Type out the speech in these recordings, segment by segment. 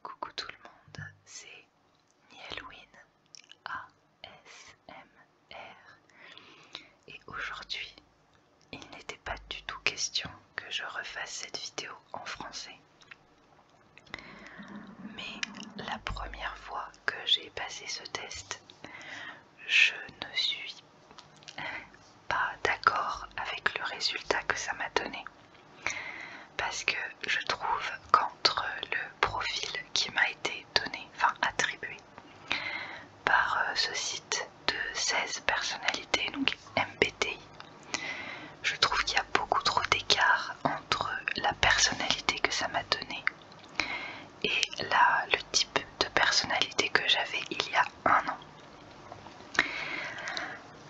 Coucou tout le monde, c'est Nielwin ASMR et aujourd'hui il n'était pas du tout question que je refasse cette vidéo en français mais la première fois que j'ai passé ce test je ne suis pas d'accord avec le résultat que ça m'a donné parce que je trouve qu'entre le profil qui m'a été donné, enfin attribué, par euh, ce site de 16 personnalités, donc MBTI, je trouve qu'il y a beaucoup trop d'écart entre la personnalité que ça m'a donnée et le type de personnalité que j'avais il y a un an.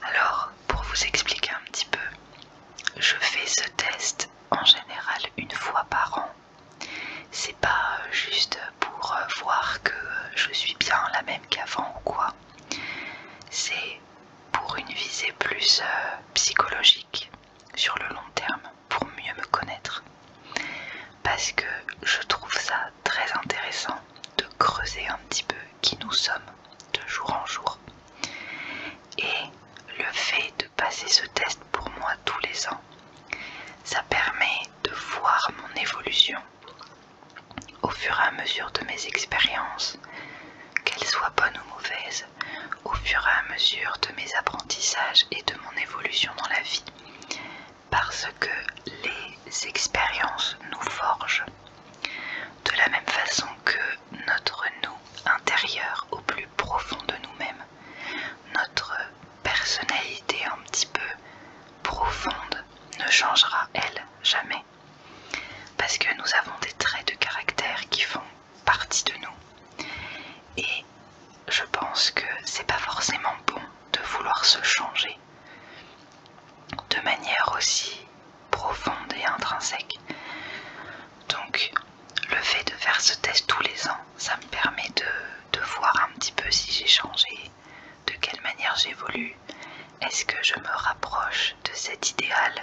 Alors, pour vous expliquer un petit peu, je fais ce test en général une fois par an. C'est pas euh, juste pour euh, voir que euh, je suis bien la même qu'avant ou quoi. C'est pour une visée plus psychologique sur le long terme, pour mieux me connaître. Parce que je trouve ça très intéressant de creuser un petit peu qui nous sommes de jour en jour. Et le fait de passer ce test pour moi tous les ans, ça permet de voir mon évolution au fur et à mesure de mes expériences, qu'elles soient bonnes ou mauvaises, au fur et à mesure de mes apprentissages et de mon évolution dans la vie. Parce que les expériences nous forgent de la même façon que notre nous intérieur au plus profond de nous-mêmes, notre personnalité un petit peu profonde ne changera, elle, jamais. Parce que nous avons des traits de caractère qui font partie de nous. Et je pense que c'est pas forcément bon de vouloir se changer de manière aussi profonde et intrinsèque. Donc le fait de faire ce test tous les ans, ça me permet de, voir un petit peu si j'ai changé, de quelle manière j'évolue, est-ce que je me rapproche de cet idéal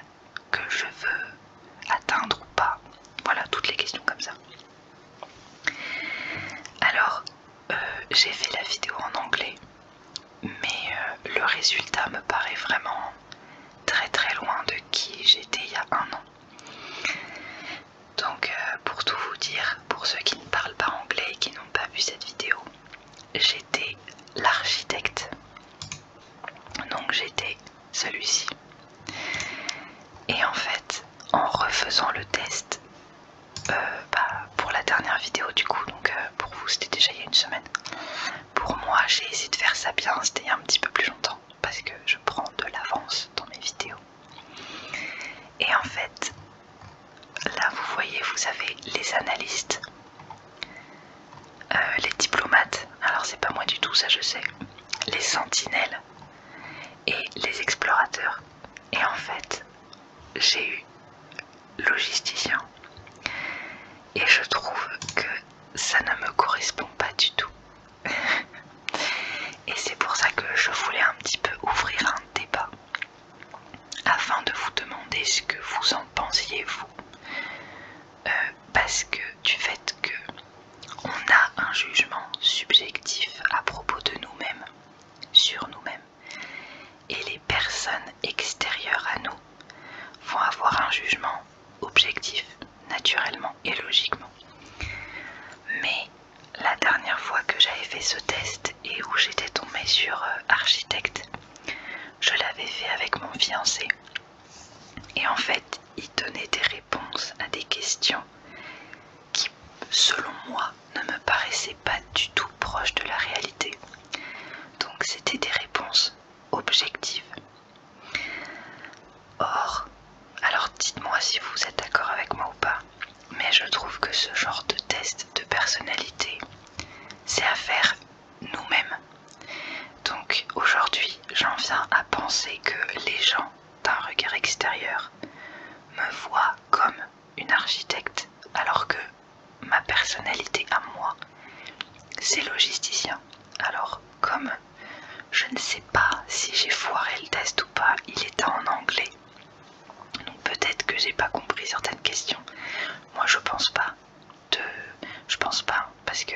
que je veux atteindre ou pas. Voilà, toutes les questions comme ça. Alors, euh, j'ai fait la vidéo en anglais mais euh, le résultat me paraît vraiment très très loin de qui j'étais il y a un an. Donc euh, pour tout vous dire, pour ceux qui ne parlent pas anglais et qui n'ont pas vu cette vidéo, j'étais l'architecte. Donc j'étais celui-ci. Et en fait, en refaisant le test euh, bah, pour la dernière vidéo du coup, donc pour vous c'était déjà il y a une semaine, pour moi, j'ai essayé de faire ça bien, c'était un petit peu plus longtemps parce que je prends de l'avance dans mes vidéos. Et en fait, là vous voyez, vous avez les analystes, euh, les diplomates, alors c'est pas moi du tout, ça je sais, les sentinelles et les explorateurs. Et en fait, j'ai eu logisticien et je trouve que ça ne me correspond pas du tout et c'est pour ça que je voulais un petit peu ouvrir un débat afin de vous demander ce que vous en pensiez vous euh, parce que du fait que on a un jugement subjectif à propos de nous-mêmes sur nous-mêmes et les personnes extérieures à nous vont avoir un jugement objectif, naturellement et logiquement. Mais la dernière fois que j'avais fait ce test et où j'étais tombée sur euh, architecte, je l'avais fait avec mon fiancé. Et en fait, il donnait des réponses à des questions qui, selon moi, ne me paraissaient pas du tout proches de la réalité. Donc c'était des réponses objective. Or, alors dites-moi si vous êtes d'accord avec moi ou pas, mais je trouve que ce genre de test de personnalité, c'est à faire nous-mêmes. Donc aujourd'hui, j'en viens à penser que les gens d'un regard extérieur me voient comme une architecte alors que ma personnalité à moi, c'est logisticien. Alors, comme je ne sais pas si j'ai foiré le test ou pas, il est en anglais. Donc peut-être que j'ai pas compris certaines questions. Moi, je pense pas. Je pense pas, parce que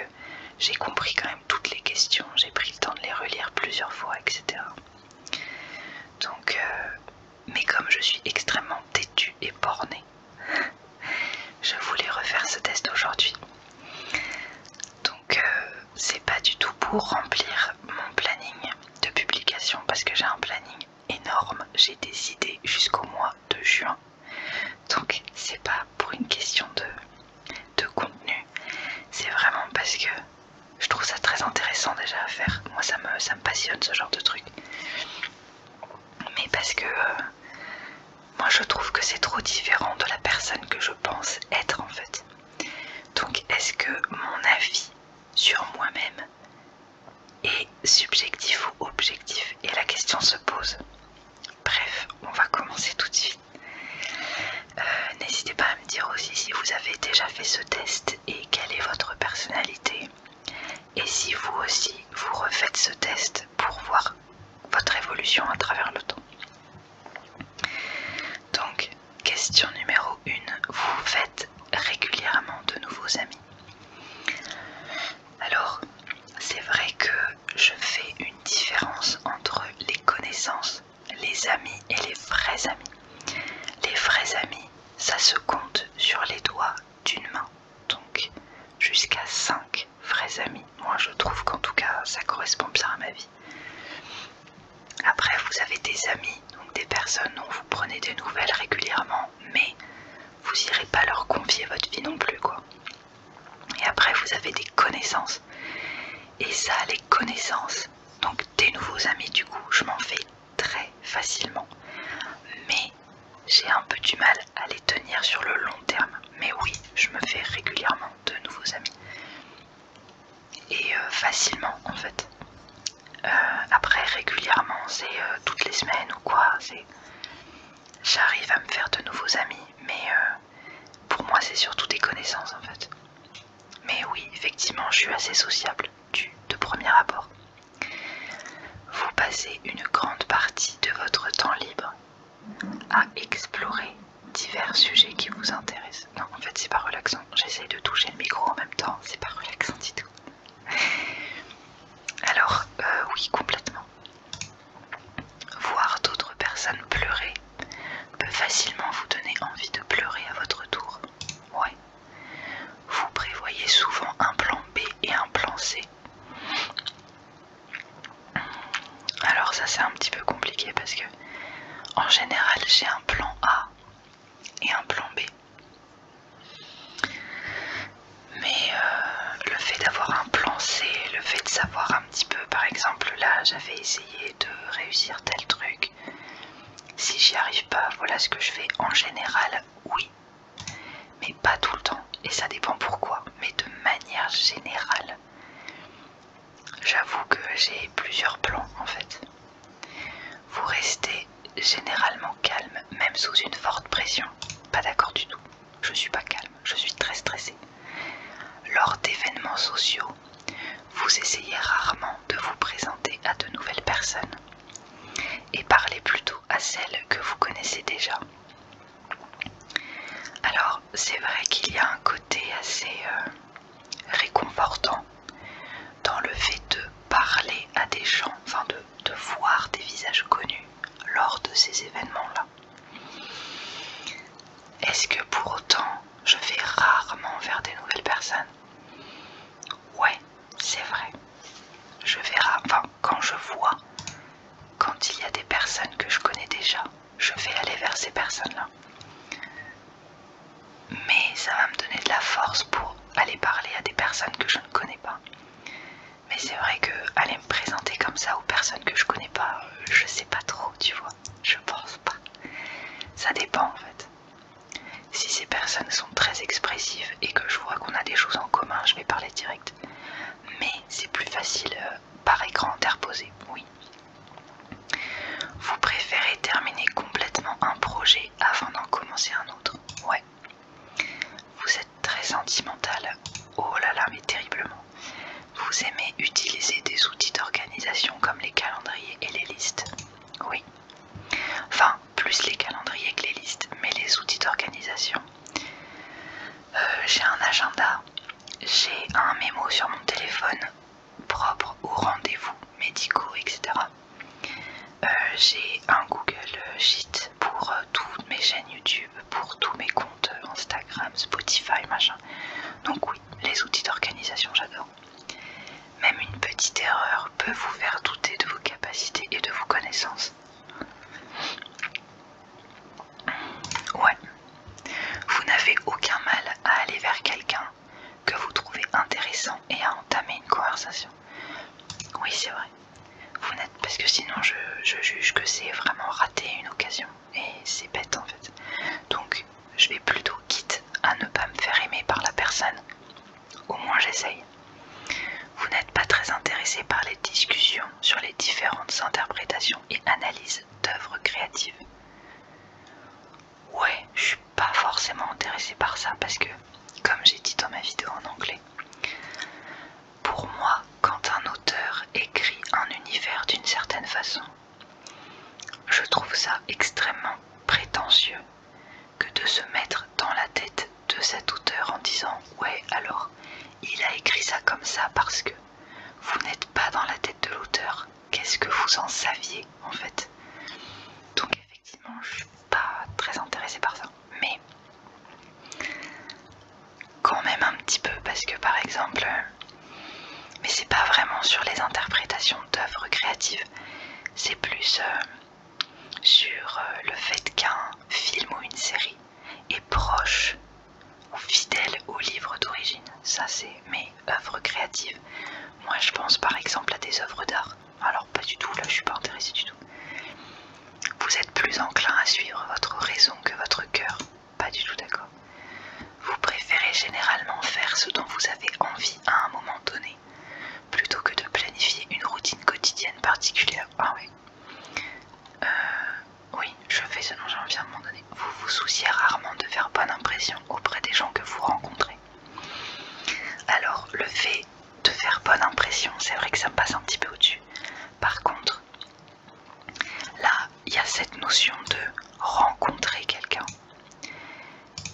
j'ai compris quand même toutes les questions, j'ai pris le temps de les relire plusieurs fois, etc. Donc, euh, mais comme je suis extrêmement têtu et borné je voulais refaire ce test aujourd'hui. Donc euh, c'est pas du tout pour remplir mon planning de publication parce que j'ai un planning énorme. J'ai des idées jusqu'au mois de juin. Donc c'est pas pour une question de, de contenu. C'est vraiment parce que je trouve ça très intéressant déjà à faire. Moi ça me, ça me passionne ce genre de truc mais parce que euh, moi je trouve que c'est trop différent de la personne que je pense être en fait. Donc est-ce que mon avis sur moi-même est subjectif ou objectif Et la question se pose. Bref, on va commencer tout de suite. Euh, n'hésitez pas à me dire aussi si vous avez déjà fait ce test et quelle est votre personnalité. Et si vous aussi, vous refaites ce test pour voir votre évolution à travers le temps. Donc, question numéro 1, vous faites régulièrement de nouveaux amis. Alors, c'est vrai que je fais une différence entre les connaissances, les amis et les vrais amis. Les vrais amis, ça se compte sur les doigts d'une main, donc jusqu'à 5 vrais amis. Moi je trouve qu'en tout cas ça correspond bien à ma vie. Après vous avez des amis, donc des personnes dont vous prenez des nouvelles régulièrement, mais vous irez pas leur confier votre vie non plus quoi. Et après vous avez des connaissances. Et ça les connaissances, donc des nouveaux amis du coup, je m'en fais très facilement. Mais j'ai un peu du mal à les tenir sur le long terme. Mais oui, je me fais régulièrement de nouveaux amis. Et euh, facilement en fait. Euh, après régulièrement, c'est euh, toutes les semaines ou quoi. J'arrive à me faire de nouveaux amis. Mais pour moi, c'est surtout des connaissances en fait. Mais oui, effectivement, je suis assez sociable de premier abord. Vous passez une grande partie de votre temps libre à explorer divers sujets qui vous intéressent. Non, en fait, c'est pas relaxant. J'essaye de toucher le micro en même temps, c'est pas relaxant du tout. Alors, euh, oui, complètement. Voir d'autres personnes pleurer peut facilement vous donner envie de pleurer à votre tour. Ouais. Vous prévoyez souvent un plan B et un plan C alors ça c'est un petit peu compliqué parce que en général j'ai un plan A et un plan B. Mais euh, le fait d'avoir un plan C, le fait de savoir un petit peu, par exemple là j'avais essayé de réussir tel truc. Si j'y arrive pas, voilà ce que je fais en général, oui. Mais pas tout le temps, et ça dépend pourquoi, mais de manière générale. J'avoue que j'ai plusieurs plans en fait. Vous restez généralement calme, même sous une forte pression. Pas d'accord du tout. Je suis pas calme, je suis très stressée. Lors d'événements sociaux, vous essayez rarement de vous présenter à de nouvelles personnes et parler plutôt à celles que vous connaissez déjà. Alors c'est vrai qu'il y a un côté assez euh, réconfortant dans le fait de parler à des gens, enfin de, voir des visages connus lors de ces événements-là. Est-ce que pour autant je vais rarement vers des nouvelles personnes Ouais, c'est vrai. Je verrai, rarement quand je vois, quand il y a des personnes que je connais déjà, je vais aller vers ces personnes-là. Mais ça va me donner de la force pour aller parler à des personnes que je ne connais pas. Mais c'est vrai que aller me présenter comme ça aux personnes que je ne connais pas, je ne sais pas trop, tu vois. Je pense pas. Ça dépend en fait. Si ces personnes sont très expressives et que je vois qu'on a des choses en commun, je vais parler directement. Mais c'est plus facile euh, par écran interposé, oui. Vous préférez terminer complètement un projet avant d'en commencer un autre Ouais. Vous êtes très sentimental. Oh là là, mais terriblement. Vous aimez utiliser des outils d'organisation comme les calendriers et les listes Oui. Enfin, plus les calendriers que les listes, mais les outils d'organisation. Euh, j'ai un agenda, j'ai un mémo sur mon téléphone propre aux rendez-vous médicaux, etc. Euh, j'ai un Google Sheet pour euh, toutes mes chaînes YouTube, pour tous mes comptes Instagram, Spotify, machin. Donc oui, les outils d'organisation, j'adore. Même une petite erreur peut vous faire douter de vos capacités et de vos connaissances. Ouais. Vous n'avez aucun mal à aller vers quelqu'un que vous trouvez intéressant et à entamer une conversation. Oui, c'est vrai. Vous n'êtes parce que sinon je, juge que c'est vraiment rater une occasion et c'est bête en fait. Donc je vais plutôt quitte à ne pas me faire aimer par la personne au moins j'essaye. Vous n'êtes pas très intéressé par les discussions sur les différentes interprétations et analyses d'œuvres créatives. Ouais, je suis pas forcément intéressé par ça parce que, comme j'ai dit dans ma vidéo en anglais, pour moi, quand un auteur écrit un univers d'une certaine façon, je trouve ça extrêmement prétentieux que de se mettre dans la tête de cet auteur en disant Ouais, alors, il a écrit ça comme ça parce que vous n'êtes pas dans la tête de l'auteur. Qu'est-ce que vous en saviez en fait Donc, effectivement, je suis pas très intéressée par ça. Mais quand même un petit peu, parce que par exemple, mais c'est pas vraiment sur les interprétations d'œuvres créatives, c'est plus. Euh, sur euh, le fait qu'un film ou une série est proche ou fidèle au livre d'origine. Ça, c'est mes œuvres créatives. Moi, je pense par exemple à des œuvres d'art. Alors, pas du tout, là, je suis pas intéressée du tout. Vous êtes plus enclin à suivre votre raison que votre cœur. Pas du tout d'accord. Vous préférez généralement faire ce dont vous avez envie à un moment donné, plutôt que de planifier une routine quotidienne particulière. Ah ouais, euh, oui, je fais ce dont j'en viens de m'en donner. Vous vous souciez rarement de faire bonne impression auprès des gens que vous rencontrez. Alors, le fait de faire bonne impression, c'est vrai que ça me passe un petit peu au-dessus. Par contre, là, il y a cette notion de rencontrer quelqu'un.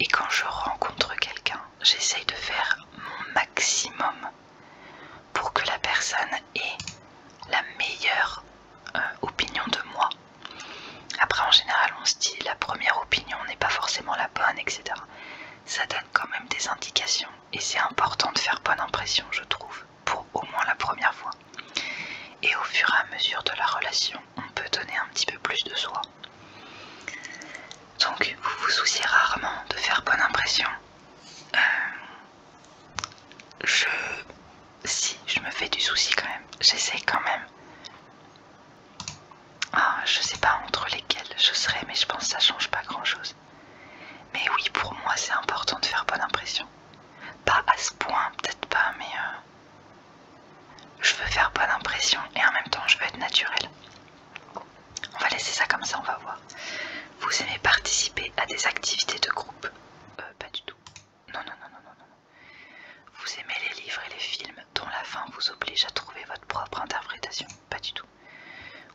Et quand je rencontre quelqu'un, j'essaye de faire mon maximum pour que la personne ait la meilleure euh, opinion de moi. Après, en général, on se dit la première opinion n'est pas forcément la bonne, etc. Ça donne quand même des indications et c'est important de faire bonne impression, je trouve, pour au moins la première fois. Et au fur et à mesure de la relation, on peut donner un petit peu plus de soi. Donc, vous vous souciez rarement de faire bonne impression euh, je si je me fais du souci quand même j'essaie quand même ah je sais pas entre lesquels je serai mais je pense que ça change pas grand chose mais oui pour moi c'est important de faire bonne impression pas à ce point peut-être pas mais euh, je veux faire bonne impression et en même temps je veux être naturelle on va laisser ça comme ça, on va voir. Vous aimez participer à des activités de groupe euh, Pas du tout. Non, non, non, non, non, non. Vous aimez les livres et les films dont la fin vous oblige à trouver votre propre interprétation Pas du tout.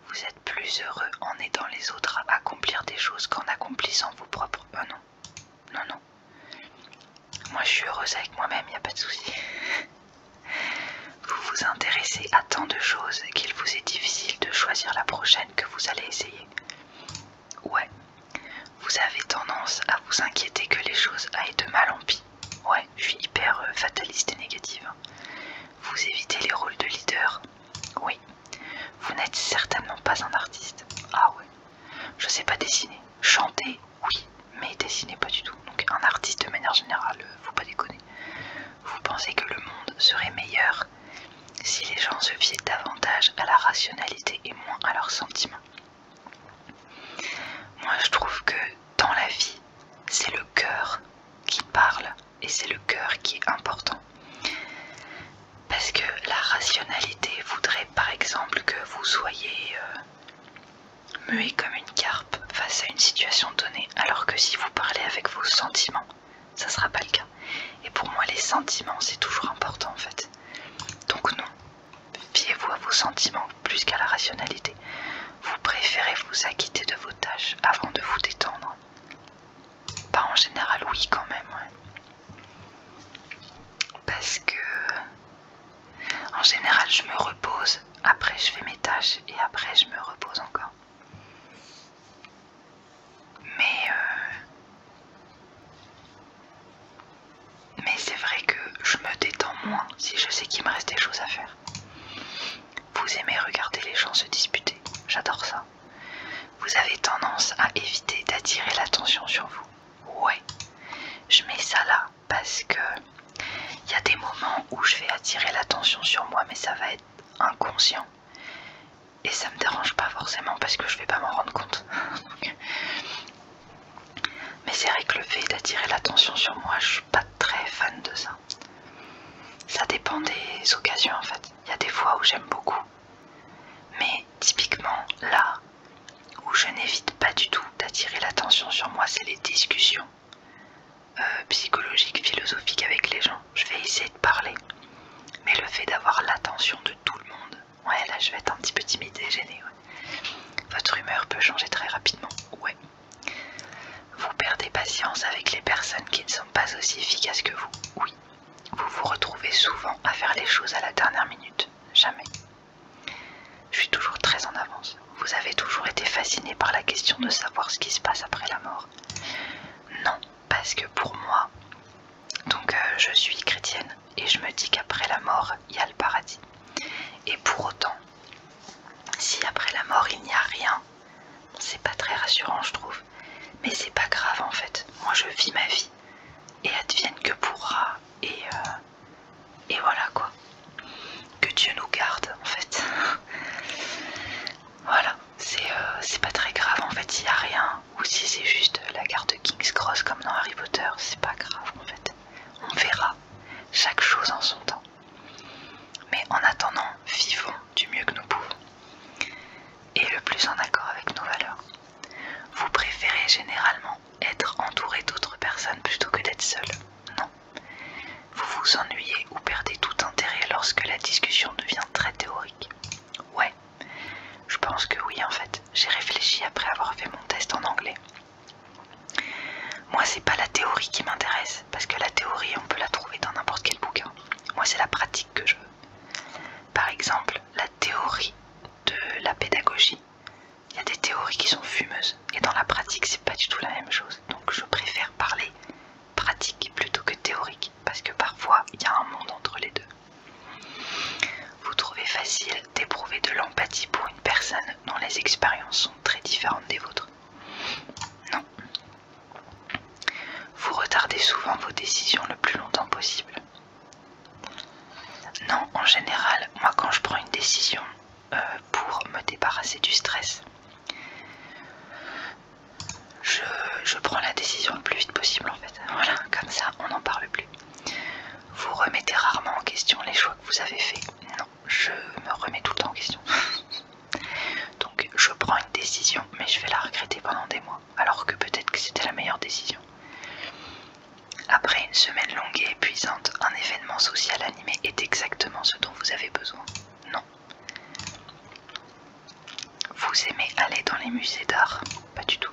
Vous êtes plus heureux en aidant les autres à accomplir des choses qu'en accomplissant vos propres... Euh, non, non, non. Moi, je suis heureuse avec moi-même, il a pas de souci. Vous vous intéressez à tant de choses qu'il vous est difficile de choisir la prochaine que vous allez essayer. Ouais. Vous avez tendance à vous inquiéter que les choses aillent de mal en pis. Ouais, je suis hyper euh, fataliste et négative. Vous évitez les rôles de leader. Oui. Vous n'êtes certainement pas un artiste. Ah ouais. Je sais pas dessiner. Chanter, oui, mais dessiner pas du tout. Donc un artiste de manière générale, vous euh, pas déconner. Vous pensez que le monde serait meilleur si les gens se fiaient davantage à la rationalité et moins à leurs sentiments. Moi je trouve que dans la vie, c'est le cœur qui parle et c'est le cœur qui est important. Parce que la rationalité voudrait par exemple que vous soyez euh, muet comme une carpe face à une situation donnée, alors que si vous parlez avec vos sentiments, ça sera pas le cas. Et pour moi, les sentiments, c'est toujours important en fait. Donc non, fiez-vous à vos sentiments plus qu'à la rationalité. Vous préférez vous acquitter de vos tâches avant de vous détendre. Pas en général, oui quand même. Parce que... En général, je me repose, après je fais mes tâches et après je me repose encore. Euh, mais, c'est vrai que je me détends moins si je sais qu'il me reste des choses à faire. Vous aimez regarder les gens se disputer, j'adore ça. Vous avez tendance à éviter d'attirer l'attention sur vous. Ouais, je mets ça là parce que il y a des moments où je vais attirer l'attention sur moi, mais ça va être inconscient et ça me dérange pas forcément parce que je vais pas m'en rendre compte. Mais c'est vrai que le fait d'attirer l'attention sur moi, je suis pas très fan de ça. Ça dépend des occasions en fait. Il y a des fois où j'aime beaucoup. Mais typiquement là où je n'évite pas du tout d'attirer l'attention sur moi, c'est les discussions. Euh, psychologique, philosophique avec les gens. Je vais essayer de parler. Mais le fait d'avoir l'attention de tout le monde, ouais là je vais être un petit peu timide et gênée. Votre humeur peut changer très rapidement, ouais. Vous perdez patience avec les personnes qui ne sont pas aussi efficaces que vous, oui. Vous vous retrouvez souvent à faire les choses à la dernière minute, jamais. Je suis toujours très en avance. Vous avez toujours été fasciné par la question de savoir ce qui se passe après la mort. Non, parce que pour moi, donc euh, je suis chrétienne et je me dis qu'après la mort, il y a le paradis. Et pour autant, si après la mort il n'y a rien, c'est pas très rassurant je trouve. Mais c'est pas grave en fait. Moi je vis ma vie et advienne que pourra et euh, et voilà quoi que Dieu nous garde en fait. voilà, euh, c'est pas très grave en fait s'il y a rien, ou si c'est juste la carte King's Cross comme dans Harry Potter, c'est pas grave en fait. On verra chaque chose en son temps. Mais en attendant, vivons du mieux que nous pouvons. Et le plus en accord avec nos valeurs. Vous préférez généralement être entouré d'autres personnes plutôt que d'être seul, non vous vous ennuyez ou perdez tout intérêt lorsque la discussion devient très théorique. Ouais, je pense que oui en fait. J'ai réfléchi après avoir fait mon test en anglais. Moi, c'est pas la théorie qui m'intéresse, parce que la théorie, on peut la trouver dans n'importe quel bouquin. Moi, c'est la pratique que je veux. Par exemple, la théorie de la pédagogie. Il y a des théories qui sont fumeuses, et dans la pratique, c'est pas du tout la même chose. Donc, je préfère parler pratique plutôt que théorique, parce que parfois il y a un monde entre les deux. Vous trouvez facile d'éprouver de l'empathie pour une personne dont les expériences sont très différentes des vôtres Non. Vous retardez souvent vos décisions le plus longtemps possible Non, en général, moi quand je prends une décision, pour me débarrasser du stress. Je, je prends la décision le plus vite possible en fait. Voilà, comme ça on n'en parle plus. Vous remettez rarement en question les choix que vous avez faits. Non, je me remets tout le temps en question. Donc je prends une décision, mais je vais la regretter pendant des mois, alors que peut-être que c'était la meilleure décision. Après une semaine longue et épuisante, un événement social animé est exactement ce dont vous avez besoin. Non vous aimez aller dans les musées d'art Pas du tout.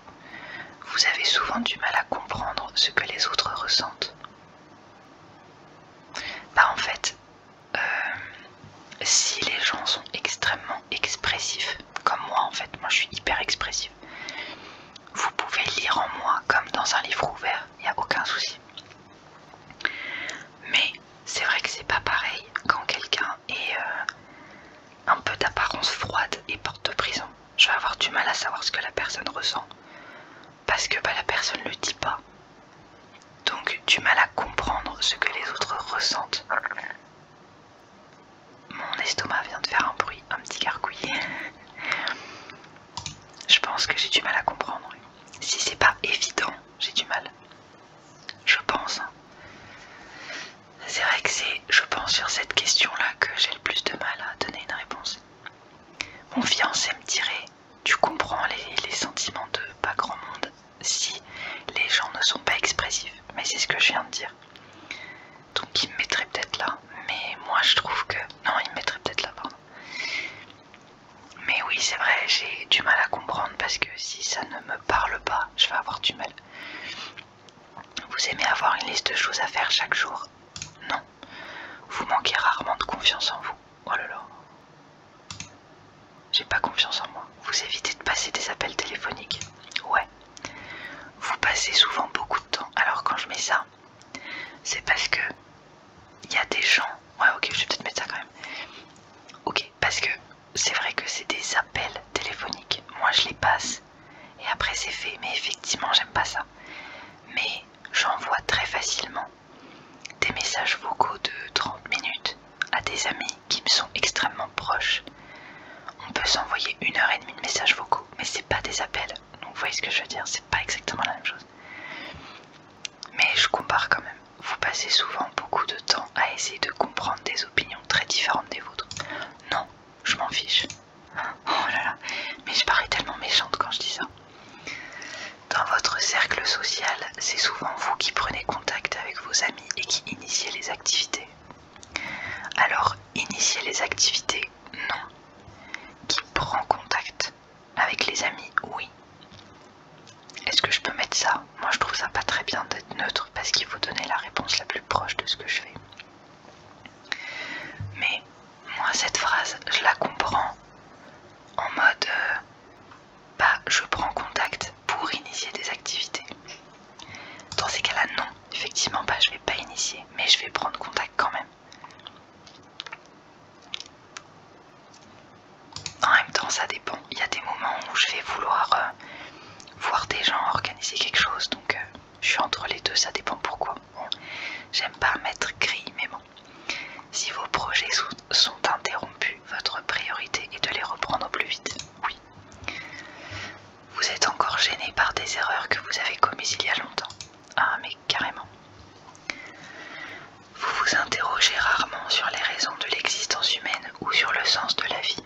Vous avez souvent du mal à comprendre ce que les autres ressentent. Bah en fait, euh, si les gens sont extrêmement expressifs, comme moi en fait, moi je suis hyper expressif vous pouvez lire en moi comme dans un livre ouvert, il n'y a aucun souci. Mais c'est vrai que c'est pas pareil quand quelqu'un est euh, un peu d'apparence froide et porte prison. Je vais avoir du mal à savoir ce que la personne ressent parce que bah, la personne le dit pas. Donc du mal à comprendre ce que les autres ressentent. Mon estomac vient de faire un bruit, un petit gargouiller. Je pense que j'ai du mal à comprendre. Si c'est pas évident j'ai du mal. Je pense. C'est vrai que c'est, je pense, sur cette question-là que j'ai le plus de mal à donner une réponse. Mon fiancé me dirait, tu comprends les, sentiments de pas grand monde si les gens ne sont pas expressifs. Mais c'est ce que je viens de dire. Donc il me mettrait peut-être là. Mais moi je trouve que... Non, il me mettrait peut-être là, pardon. Mais oui, c'est vrai, j'ai du mal à comprendre parce que si ça ne me parle pas, je vais avoir du mal. Vous aimez avoir une liste de choses à faire chaque jour Non. Vous manquez rarement de confiance en vous. Oh là là. J'ai pas confiance en moi. Vous évitez de passer des appels téléphoniques Ouais. Vous passez souvent beaucoup de temps. Alors quand je mets ça, c'est parce que il y a des gens. Ouais, ok, je vais peut-être mettre ça quand même. Ok, parce que c'est vrai que c'est des appels téléphoniques. Moi, je les passe et après, c'est fait. Mais effectivement, j'aime pas ça. Mais j'envoie très facilement des messages vocaux de 30 minutes à des amis qui me sont extrêmement proches. On peut s'envoyer une heure et demie de messages vocaux, mais c'est pas des appels. Donc, vous voyez ce que je veux dire, c'est pas exactement la même chose. Mais je compare quand même. Vous passez souvent beaucoup de temps à essayer de comprendre des opinions très différentes des vôtres. Non, je m'en fiche. Oh là là, mais je parais tellement méchante quand je dis ça. Dans votre cercle social, c'est souvent vous qui prenez contact avec vos amis et qui initiez les activités. Alors, initier les activités, non. Qui prend contact avec les amis, oui. Est-ce que je peux mettre ça Moi je trouve ça pas très bien d'être neutre parce qu'il faut donner la réponse la plus proche de ce que je fais. Mais moi cette phrase, je la comprends en mode euh, bah je prends contact pour initier des activités. Dans ces cas-là, non, effectivement bah, je vais pas initier, mais je vais prendre contact quand même. En même temps, ça dépend. Il y a des moments où je vais vouloir euh, voir des gens organiser quelque chose, donc euh, je suis entre les deux, ça dépend pourquoi. J'aime pas mettre gris, mais bon. Si vos projets sont, interrompus, votre priorité est de les reprendre au plus vite. Oui. Vous êtes encore gêné par des erreurs que vous avez commises il y a longtemps. Ah, mais carrément. Vous vous interrogez rarement sur les raisons de l'existence humaine ou sur le sens de la vie.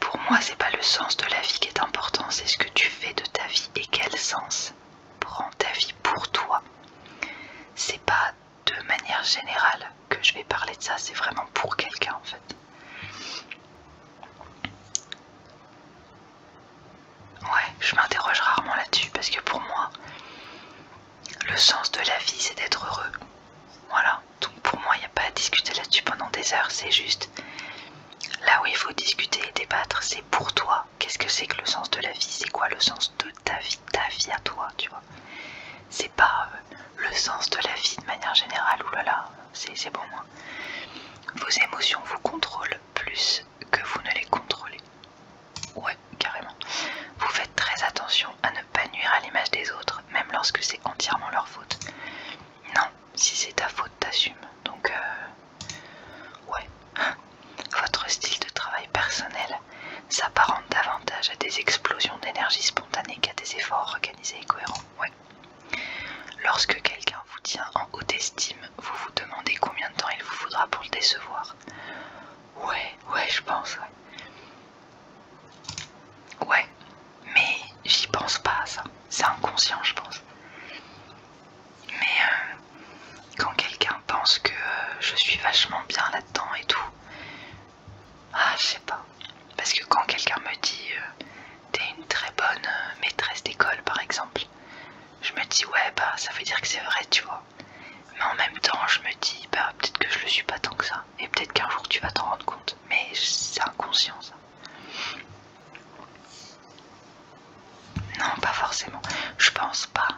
Pour moi, c'est pas le sens de la vie qui est important, c'est ce que tu fais de ta vie et quel sens prend ta vie pour toi. C'est pas de manière générale que je vais parler de ça, c'est vraiment pour quelqu'un en fait. Ouais, je m'interroge rarement là-dessus parce que pour moi, le sens de la vie, c'est d'être heureux. Voilà, donc pour moi, il n'y a pas à discuter là-dessus pendant des heures, c'est juste là où il faut discuter et débattre, c'est pour toi. Qu'est-ce que c'est que le sens de la vie C'est quoi le sens de ta vie, ta vie à toi, tu vois C'est pas euh, le sens de la vie de manière générale, oulala, c'est bon. moi. Hein. Vos émotions vous contrôlent plus que vous ne les contrôlez. Ouais, carrément. Vous faites très attention à ne pas nuire à l'image des autres, même lorsque c'est entièrement leur faute. Non, si c'est ta faute, t'assumes. Donc, euh, ouais. Votre style de travail personnel s'apparente davantage à des explosions d'énergie spontanée qu'à des efforts organisés et cohérents. Ouais. Lorsque quelqu'un vous tient en haute estime, vous vous demandez combien de temps il vous faudra pour le décevoir. Ouais, ouais, je pense, ouais. mais j'y pense pas ça. C'est inconscient, je pense. Mais euh, quand quelqu'un pense que euh, je suis vachement bien là-dedans et tout, ah, je sais pas. Parce que quand quelqu'un me dit euh, t'es une très bonne maîtresse d'école, par exemple, je me dis ouais bah ça veut dire que c'est vrai tu vois mais en même temps je me dis bah peut-être que je le suis pas tant que ça et peut-être qu'un jour tu vas t'en rendre compte mais c'est inconscient ça non pas forcément je pense pas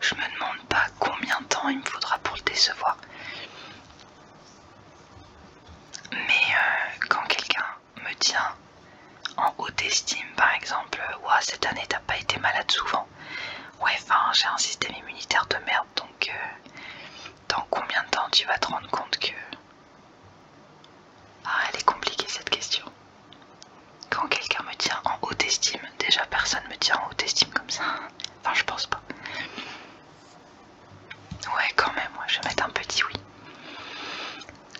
je me demande pas combien de temps il me faudra pour le décevoir mais euh, quand quelqu'un me tient en haute estime par exemple ouah cette année t'as pas été malade souvent ouais enfin j'ai un système immunitaire de merde donc euh, dans combien de temps tu vas te rendre compte que ah elle est compliquée cette question quand quelqu'un me tient en haute estime déjà personne me tient en haute estime comme ça enfin je pense pas ouais quand même je vais mettre un petit oui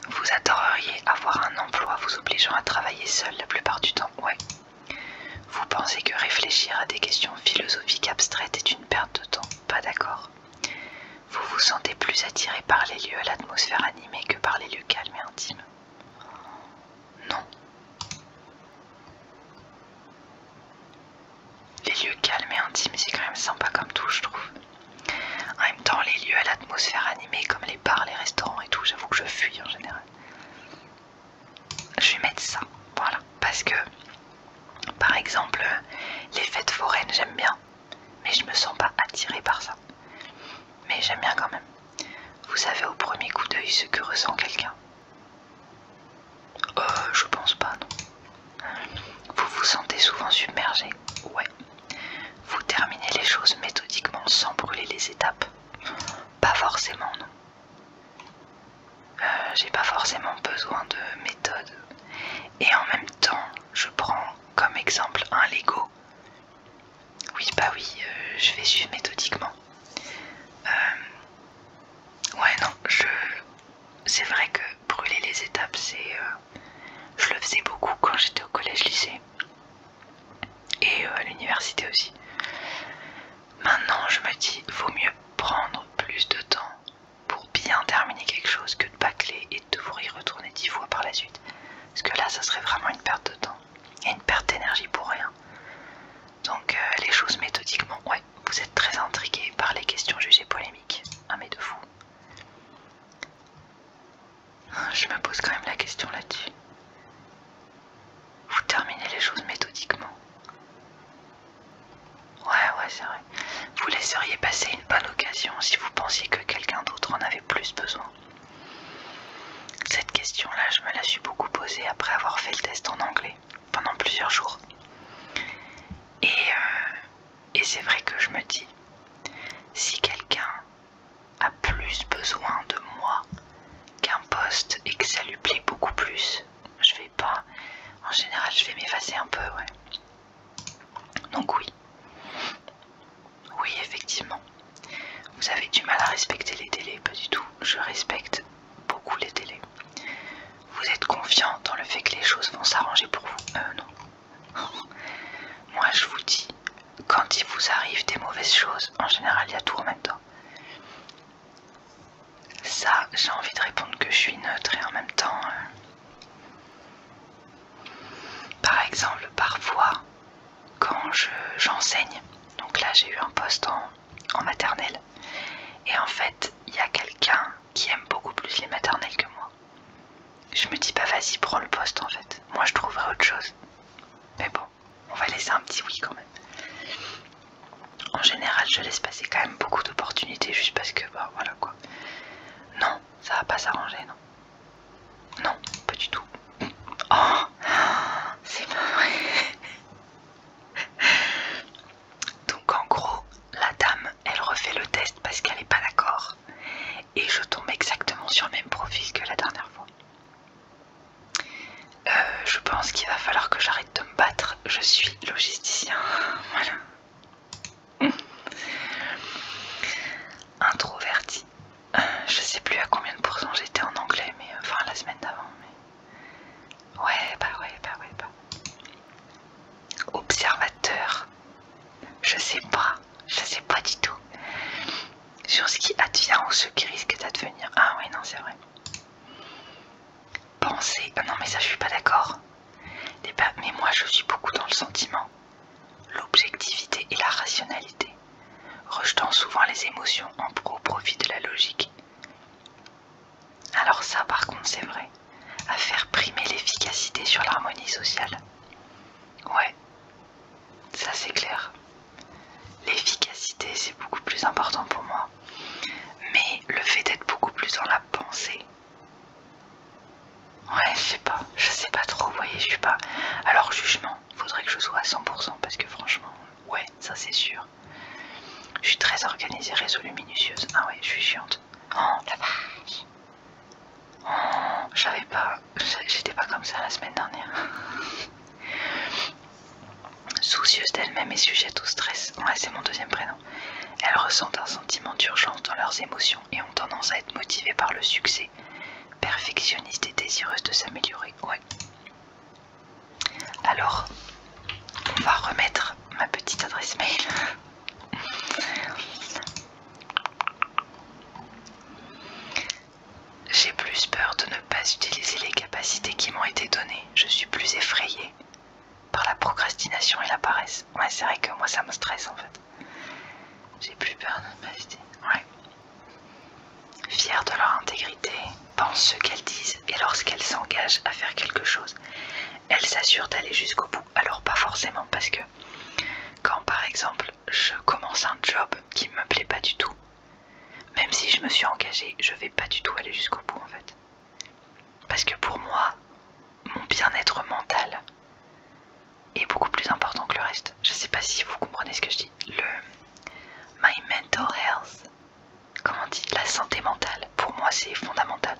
vous adoreriez avoir un emploi vous obligeant à travailler seul la plupart du temps, ouais. Vous pensez que réfléchir à des questions philosophiques abstraites est une perte de temps, pas d'accord. Vous vous sentez plus attiré par les lieux à l'atmosphère animée que par les lieux calmes et intimes. Non. Les lieux calmes et intimes, c'est quand même sympa comme tout, je trouve. En même temps, les lieux à l'atmosphère animée, comme les bars, les restaurants et tout, j'avoue que je fuis en général. Je vais mettre ça, voilà, parce que par exemple, les fêtes foraines, j'aime bien, mais je me sens pas attirée par ça. Mais j'aime bien quand même. Vous savez au premier coup d'œil ce que ressent quelqu'un Euh, je pense pas, non. Vous vous sentez souvent submergé Ouais, vous terminez les choses méthodiquement sans brûler les étapes Pas forcément, non. Euh, j'ai pas forcément besoin de méthode. Et en même temps, je prends comme exemple un Lego. Oui, bah oui, euh, je vais suivre méthodiquement. Euh, ouais, non, je... C'est vrai que brûler les étapes, c'est... je le faisais beaucoup quand j'étais au collège-lycée et euh, à l'université aussi. Maintenant, je me dis, vaut mieux prendre plus de temps pour bien terminer quelque chose que de bâcler et de devoir y retourner dix fois par la suite. Parce que là, ça serait vraiment une perte de temps et une perte d'énergie pour rien. Donc, euh, les choses méthodiquement, ouais, vous êtes très intrigués par les questions jugées polémiques. Un ah, mais de fou. Je me pose quand même la question là-dessus. Vous terminez les choses méthodiquement. Ouais, ouais, c'est vrai. Vous laisseriez passer une bonne occasion si vous pensiez que quelqu'un d'autre en avait plus besoin. Cette question-là, je me la suis beaucoup posée après avoir fait le test en anglais pendant plusieurs jours. Et, euh, et c'est vrai que je me dis, si quelqu'un a plus besoin de moi qu'un poste et que ça lui plaît beaucoup plus. Je vais pas. En général, je vais m'effacer un peu, ouais. Donc oui. Oui, effectivement. Vous avez du mal à respecter les délais, pas du tout. Je respecte beaucoup les délais. Vous êtes confiant dans le fait que les choses vont s'arranger pour vous. Euh non. Moi je vous dis, quand il vous arrive des mauvaises choses, en général il y a tout en même temps. Ça, j'ai envie de répondre que je suis neutre et en même temps... Euh, par exemple, parfois, quand j'enseigne, donc là j'ai eu un poste en maternelle, et en fait, il y a quelqu'un qui aime beaucoup plus les maternelles que moi je me dis pas bah, vas-y prends le poste en fait. Moi je trouverai autre chose. Mais bon, on va laisser un petit oui quand même. En général je laisse passer quand même beaucoup d'opportunités juste parce que bah voilà quoi. Non, ça va pas s'arranger non. Non, pas du tout. Oh, c'est mauvais. Donc en gros, la dame, elle refait le test parce qu'elle n'est pas d'accord et je tombe exactement sur le même profil que la dernière fois. Euh, je pense qu'il va falloir que j'arrête de me battre, je suis logisticien. voilà. Introverti. je sais plus à combien de pourcents j'étais en anglais, mais euh, enfin la semaine d'avant. Mais... Ouais, bah ouais, bah ouais, bah. Observateur. Je sais pas je sais pas du tout. Sur ce qui advient ou ce qui risque d'advenir. Ah oui, non, c'est vrai. Penser. Ah non, mais ça, je suis pas d'accord. Eh ben, mais moi, je suis beaucoup dans le sentiment, l'objectivité et la rationalité, rejetant souvent les émotions en au profit de la logique. Alors ça, par contre, c'est vrai. À faire primer l'efficacité sur l'harmonie sociale. Ouais, ça c'est clair. L'efficacité c'est beaucoup plus important pour moi, mais le fait d'être beaucoup plus dans la pensée. Ouais, je sais pas, je sais pas trop, vous voyez, je suis pas. Alors, jugement, faudrait que je sois à 100% parce que franchement, ouais, ça c'est sûr. Je suis très organisée, résolue, minutieuse. Ah ouais, je suis chiante. Oh la vache! j'avais pas, j'étais pas comme ça la semaine dernière. Soucieuse d'elle-même et sujette au stress, ouais, c'est mon deuxième prénom, elles ressentent un sentiment d'urgence dans leurs émotions et ont tendance à être motivées par le succès, Perfectionniste et désireuse de s'améliorer. Ouais. Alors, on va remettre ma petite adresse mail. J'ai plus peur de ne pas utiliser les capacités qui m'ont été données. Je suis plus effrayée par la procrastination et la paresse. Ouais, c'est vrai que moi ça me stresse en fait. J'ai plus peur de ne pas utiliser. Ouais. Fière de leur intégrité, pense ce qu'elles disent et lorsqu'elles s'engagent à faire quelque chose, elles s'assurent d'aller jusqu'au bout. Alors pas forcément parce que quand par exemple je commence un job qui me plaît pas du tout, même si je me suis engagée, je vais pas du tout aller jusqu'au bout en fait. Parce que pour moi, mon bien-être mental est beaucoup plus important que le reste. Je sais pas si vous comprenez ce que je dis. Le my mental health, comment on dit, la santé mentale, pour moi c'est fondamental.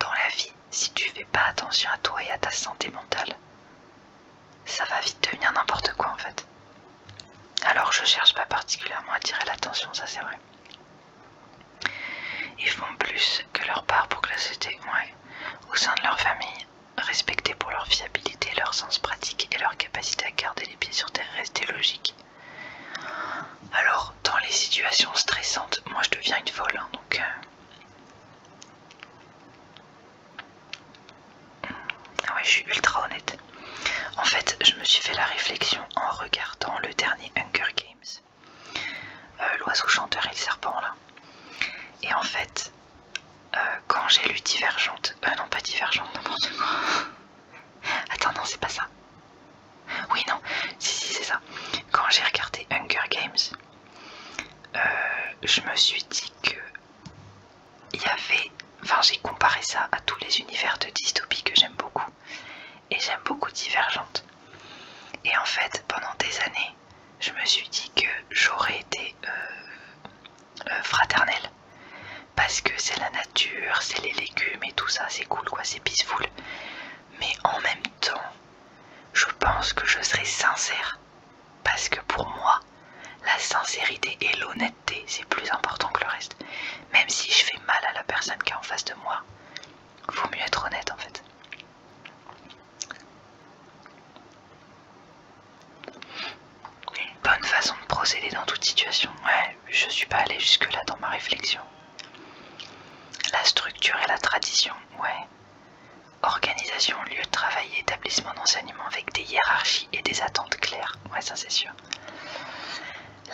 Dans la vie, si tu fais pas attention à toi et à ta santé mentale, ça va vite devenir n'importe quoi en fait. Alors je cherche pas particulièrement à tirer l'attention, ça c'est vrai. Ils font plus que leur part pour que la société, au sein de leur famille, respectés pour leur fiabilité, leur sens pratique et leur capacité à garder les pieds sur terre, rester logique. Alors, dans les situations stressantes, moi je deviens une folle, hein, donc... Euh, ah ouais, je suis ultra honnête. En fait, je me suis fait la réflexion en regardant le dernier Hunger Games. Euh, l'oiseau chanteur et le serpent, là. Et en fait, euh, quand j'ai lu Divergente... Euh, non, pas Divergente, n'importe quoi. Attends, non, c'est pas ça. Oui, non. Si, si, c'est ça. Quand j'ai regardé Hunger Games, euh, je me suis dit que il y avait, enfin j'ai comparé ça à tous les univers de dystopie que j'aime beaucoup et j'aime beaucoup Divergente. Et en fait, pendant des années, je me suis dit que j'aurais été euh, euh, fraternelle parce que c'est la nature, c'est les légumes et tout ça, c'est cool quoi, c'est peaceful. Mais en même temps, je pense que je serais sincère parce que pour moi, la sincérité et l'honnêteté, c'est plus important que le reste. Même si je fais mal à la personne qui est en face de moi, vaut mieux être honnête en fait. Une bonne façon de procéder dans toute situation. Ouais, je suis pas allée jusque-là dans ma réflexion. La structure et la tradition, ouais. Organisation, lieu de travail établissement d'enseignement avec des hiérarchies et des attentes claires. Ouais, ça c'est sûr.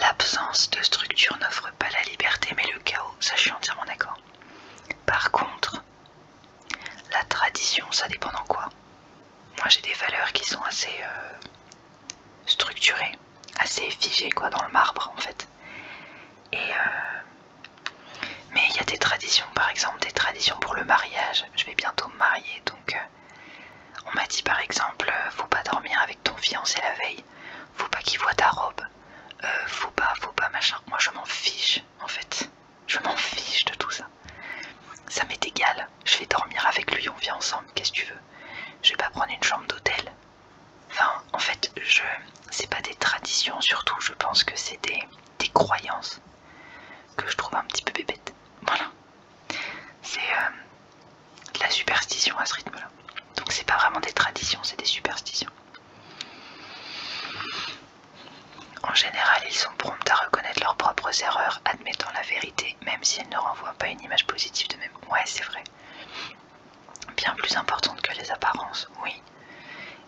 L'absence de structure n'offre pas la liberté mais le chaos, ça je suis entièrement d'accord. Par contre, la tradition, ça dépend en quoi. Moi j'ai des valeurs qui sont assez euh, structurées, assez figées quoi, dans le marbre en fait. Et euh, mais il y a des traditions, par exemple des traditions pour le mariage. Je vais bientôt me marier, donc euh, on m'a dit par exemple, euh, faut pas dormir avec ton fiancé la veille, faut pas qu'il voit ta robe, euh, faut pas, faut pas machin. Moi je m'en fiche en fait, je m'en fiche de tout ça. Ça m'est égal, je vais dormir avec lui, on vit ensemble, qu'est-ce que tu veux Je vais pas prendre une chambre d'hôtel. Enfin, en fait, je, c'est pas des traditions surtout, je pense que c'est des croyances que je trouve un petit peu bébête. Voilà. C'est euh, de la superstition à ce rythme-là. Donc c'est pas vraiment des traditions, c'est des superstitions. En général, ils sont prompts à reconnaître leurs propres erreurs, admettant la vérité, même si elles ne renvoient pas une image positive de même. Ouais, c'est vrai. Bien plus importante que les apparences, oui.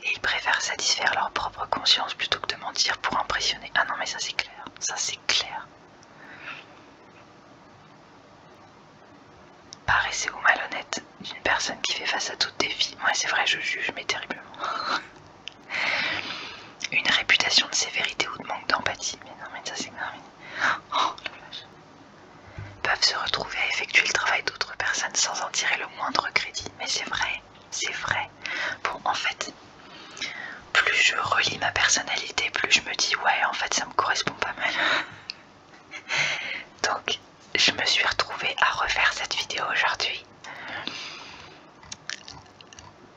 Et ils préfèrent satisfaire leur propre conscience plutôt que de mentir pour impressionner. Ah non mais ça c'est clair, ça c'est clair. paressez ou malhonnête d'une personne qui fait face à tout défi. Moi ouais, c'est vrai, je juge, mais terriblement. Une réputation de sévérité ou de manque d'empathie. Mais non mais ça c'est oh, Peuvent se retrouver à effectuer le travail d'autres personnes sans en tirer le moindre crédit. Mais c'est vrai c'est vrai. Bon, en fait, plus je relis ma personnalité, plus je me dis ouais, en fait, ça me correspond pas mal. Donc, je me suis retrouvée à refaire cette vidéo aujourd'hui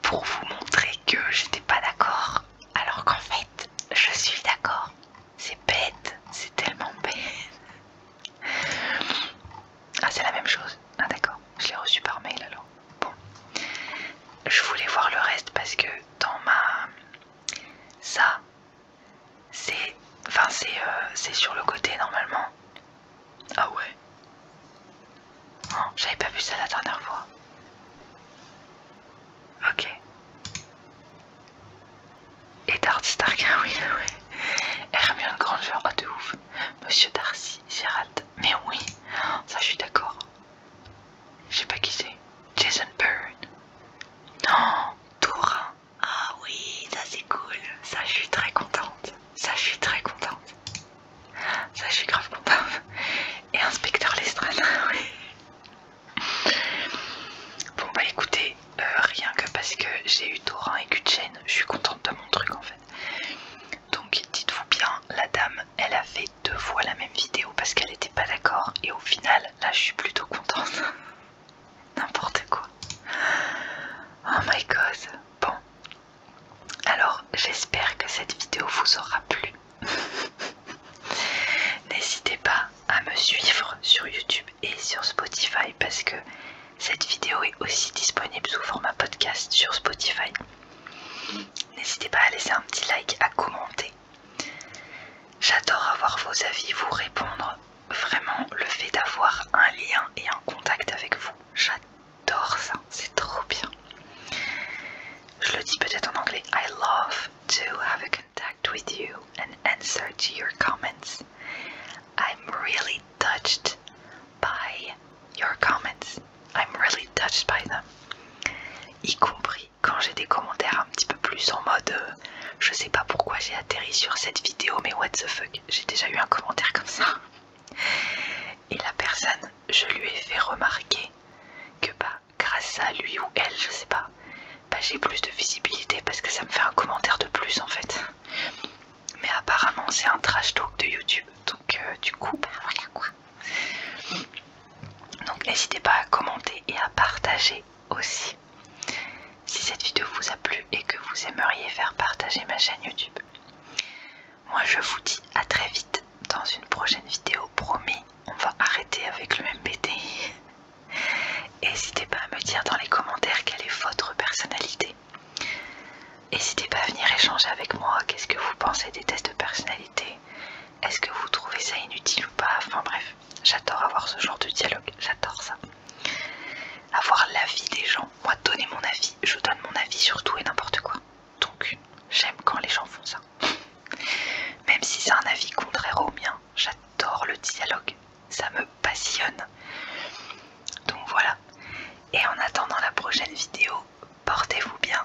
pour vous montrer que j'étais pas d'accord, alors qu'en fait, je suis d'accord. C'est bête, c'est tellement bête. Ah, c'est la même chose. Ah, d'accord. Je l'ai reçu par mail alors. Bon. Je voulais voir le reste parce que dans ma. Ça, c'est. Enfin, c'est euh, sur le côté normalement. Ah ouais. Non, J'avais pas vu ça la dernière fois. Ok. Edward Stark, oui, oui. Hermione Granger, ah oh, de ouf. Monsieur Darcy, Gérald, mais oui, ça je suis d'accord. Je sais pas qui c'est. Jason Byrne. Non, tourain. Ah oui, ça c'est cool. Ça je suis très contente. Ça je suis très contente. Ça je suis grave contente. Et inspecteur Lestrade, oui. Bon bah écoutez, euh, rien que parce que j'ai eu Torin et chaîne je suis contente de mon truc en fait. Donc dites-vous bien, la dame elle a fait deux fois la même vidéo parce qu'elle était pas d'accord et au final là je suis plutôt contente. N'importe quoi. Oh my god. Bon. Alors j'espère que cette vidéo vous aura plu. N'hésitez pas à me suivre sur YouTube et sur Spotify parce que cette vidéo est aussi disponible sous format podcast sur Spotify. N'hésitez pas à laisser un petit like, à commenter. J'adore avoir vos avis, vous répondre. Vraiment, le fait d'avoir un lien et un contact avec vous, j'adore ça, c'est trop bien. Je le dis peut-être en anglais. I love to have a contact with you and answer to your comments. I'm really touched by your comments. I'm really touched by them. Y compris quand j'ai des commentaires un petit peu plus en mode euh, je sais pas pourquoi j'ai atterri sur cette vidéo, mais what the fuck. J'ai déjà eu un commentaire comme ça. Et la personne, je lui ai fait remarquer que bah, grâce à lui ou elle, je sais pas, bah, j'ai plus de visibilité parce que ça me fait un commentaire de plus en fait. Mais apparemment c'est un trash talk de YouTube, donc euh, du coup, bah, voilà quoi. Donc n'hésitez pas à commenter et à partager aussi. Si cette vidéo vous a plu et que vous aimeriez faire partager ma chaîne YouTube. Moi je vous dis à très vite dans une prochaine vidéo, promis, on va arrêter avec le MPT N'hésitez pas à me dire dans les commentaires quelle est votre personnalité. N'hésitez pas à venir échanger avec moi. Qu'est-ce que vous pensez des tests de personnalité Est-ce que vous trouvez ça inutile ou pas Enfin bref, j'adore avoir ce genre de dialogue. J'adore ça. Avoir l'avis des gens. Moi, donner mon avis. Je donne mon avis sur tout et n'importe quoi. Donc, j'aime quand les gens font ça. Même si c'est un avis contraire au mien, j'adore le dialogue ça me passionne. Donc voilà. Et en attendant la prochaine vidéo, portez-vous bien.